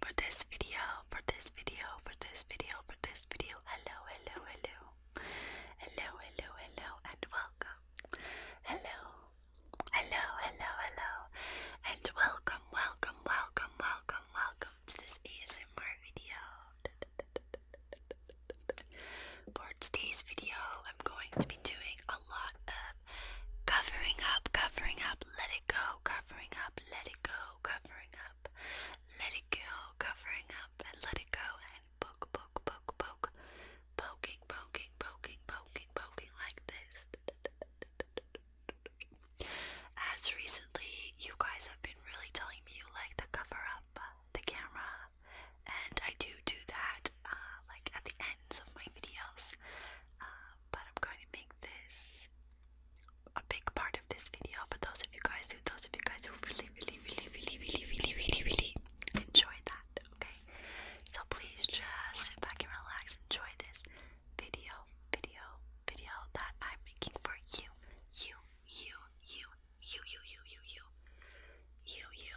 For this video, for this video, for this video, for this video, hello, hello, hello. Hello, hello, hello, and welcome. Hello, hello, hello, hello, and welcome, welcome, welcome, welcome, welcome to this ASMR video. For today's video, I'm going to be doing a lot of have. Covering up, covering up, let it go. Covering up, let it go. Covering up, let it go. Covering up and let it go. And poke, poke, poke, poke. Poking, poking, poking, poking, poking like this. As recently, you guys have been really telling me you like to cover up the camera, and I do do that, uh, like at the ends of my videos, uh, but I'm going to make this a big part of this video for those of you guys who, those of you guys who really, really, really, really, really, really, really, really enjoy that. Okay, so please just sit back and relax, enjoy this video, video, video that I'm making for you, you, you, you, you, you, you, you, you, you, you.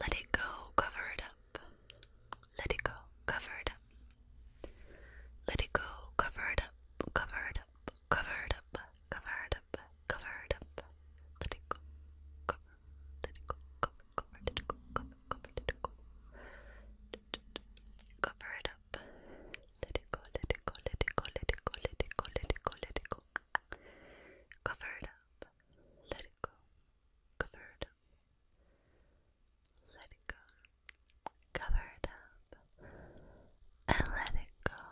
Let it go, cover it up. Let it go, cover it up. Let it go, cover it up, cover it up, cover it up, cover it up, cover it up. Let it go, cover, let it go, cover, let it go, cover, let it go. Cover it up. Let it go, let it go, let it go, let it go, let it go, let it go, let it go. Cover it up. Let it go covered Let it go. Covered up. And let it go.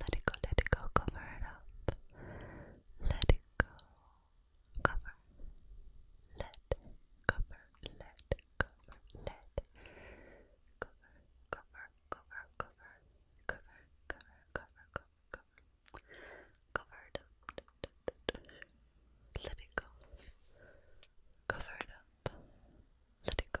Let it go, let it go, cover it up. Let it go. Cover. Let cover. Let cover. Let cover. Cover. Cover. Cover. Cover. Cover. Cover. Cover covered up, let it go, covered it go, let it go.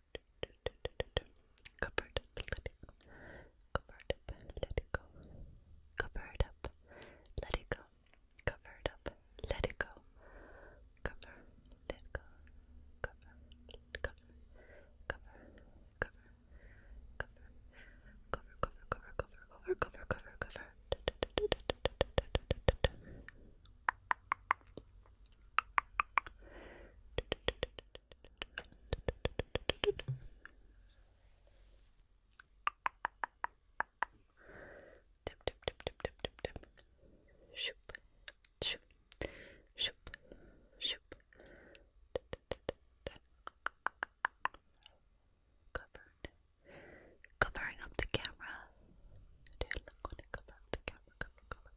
covered up, let it go, covered up, let it go, covered up, let it go, covered up, let it go, cover, let go, cover, cover, cover, cover, cover, cover, cover, cover, cover, cover, cover, cover, cover. Tip, tip, Covering up the camera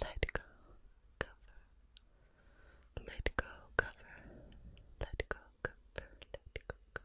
let go, cover. Let go, cover. Let go, cover. Let go, cover.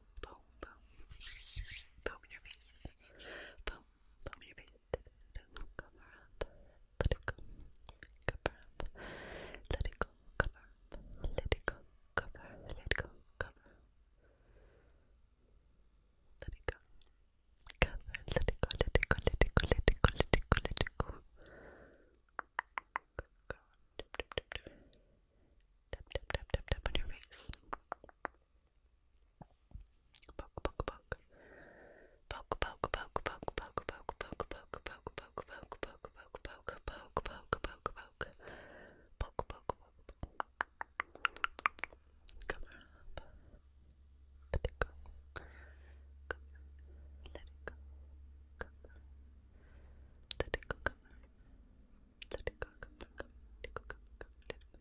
boom, boom, boom. Boom your face. Boom, boom your face. Cover up. Let it go. Cover up. Let it go. Cover up. Let it go. Cover. Let it go. Cover. Let it go. Cover. Let it go. Let it go. Let it go. Let it go. Let it go. Let it go. Tap tap tap tap tap on your face. Tap Poke, poke, poke. Poke, poke, poke, poke, poke, poke, poke, poke, poke, poke, poke, poke, poke, poke, poke, poke, poke, poke. Poke, poke, poke. Cover up. Let it go. Cover. Let it go. Cover. Let it go, Let it go, Let it go, Let it go,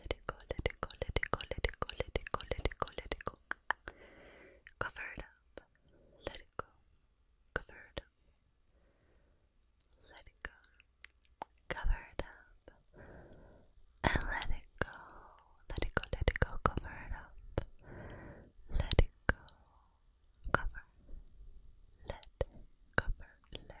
let it go, let it go, let it go, let it go, let it go, let it go, let it go. Cover it up. Let it go. Cover it up. Let it go. Cover it up. And let it go. Let it go, let it go, cover it up. Let it go. Cover. Let cover. Let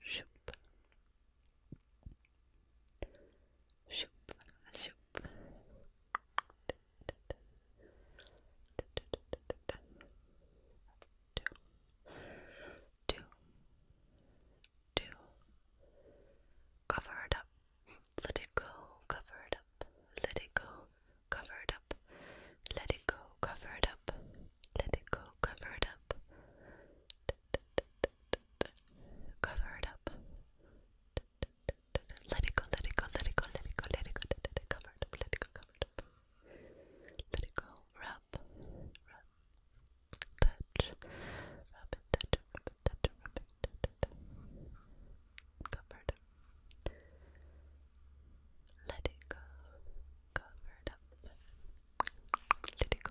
shoop, shoop, shoop. Do, Cover it up. Let it go. Cover it up. Let it go. Cover it up. Let it go. Cover it up let it go, cover it up, cover it up, let it go, let it go, let it go, let it go, let it go, cover it up, let it go, cover it up, let it go, rub, rub, touch, rub touch it, touch it, touch cover it Let it go, cover it up. Let it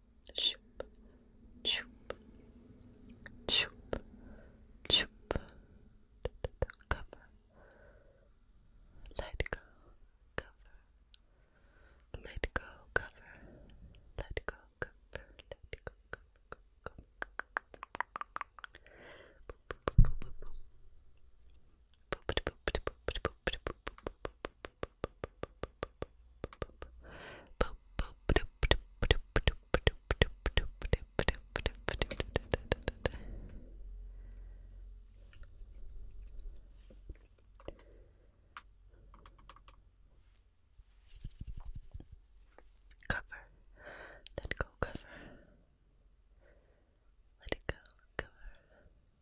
Choop, choop, choop, choop. Cover, let go, cover, let go, cover, let go, cover, let go, cover, cover. Cover. Let go, cover. Let it go, cover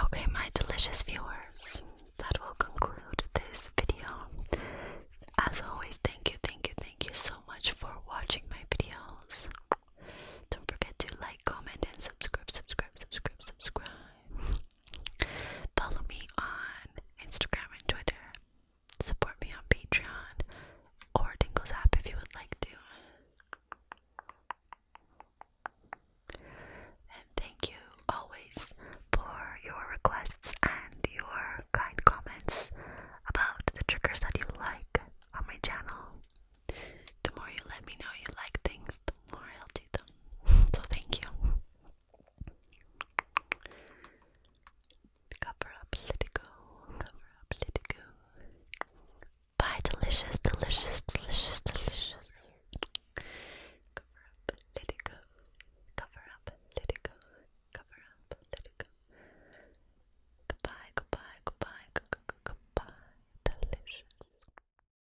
Okay, my delicious viewers, that will conclude this video. As always, thank you, thank you, thank you so much for watching my videos. Don't forget to like, comment, and subscribe, subscribe, subscribe, subscribe. Follow me on Instagram and Twitter. Support me on Patreon or Tingles app if you would like to. And thank you always for your requests and your kind comments about the triggers that you like on my channel. The more you let me know you like things, the more I'll So thank you. Cover up Litigo. Cover up Litigo. Bye, delicious, delicious, delicious, delicious. Cover up Litigo. Cover up Litigo. Cover up Litigo. Goodbye, goodbye, goodbye, goodbye, delicious.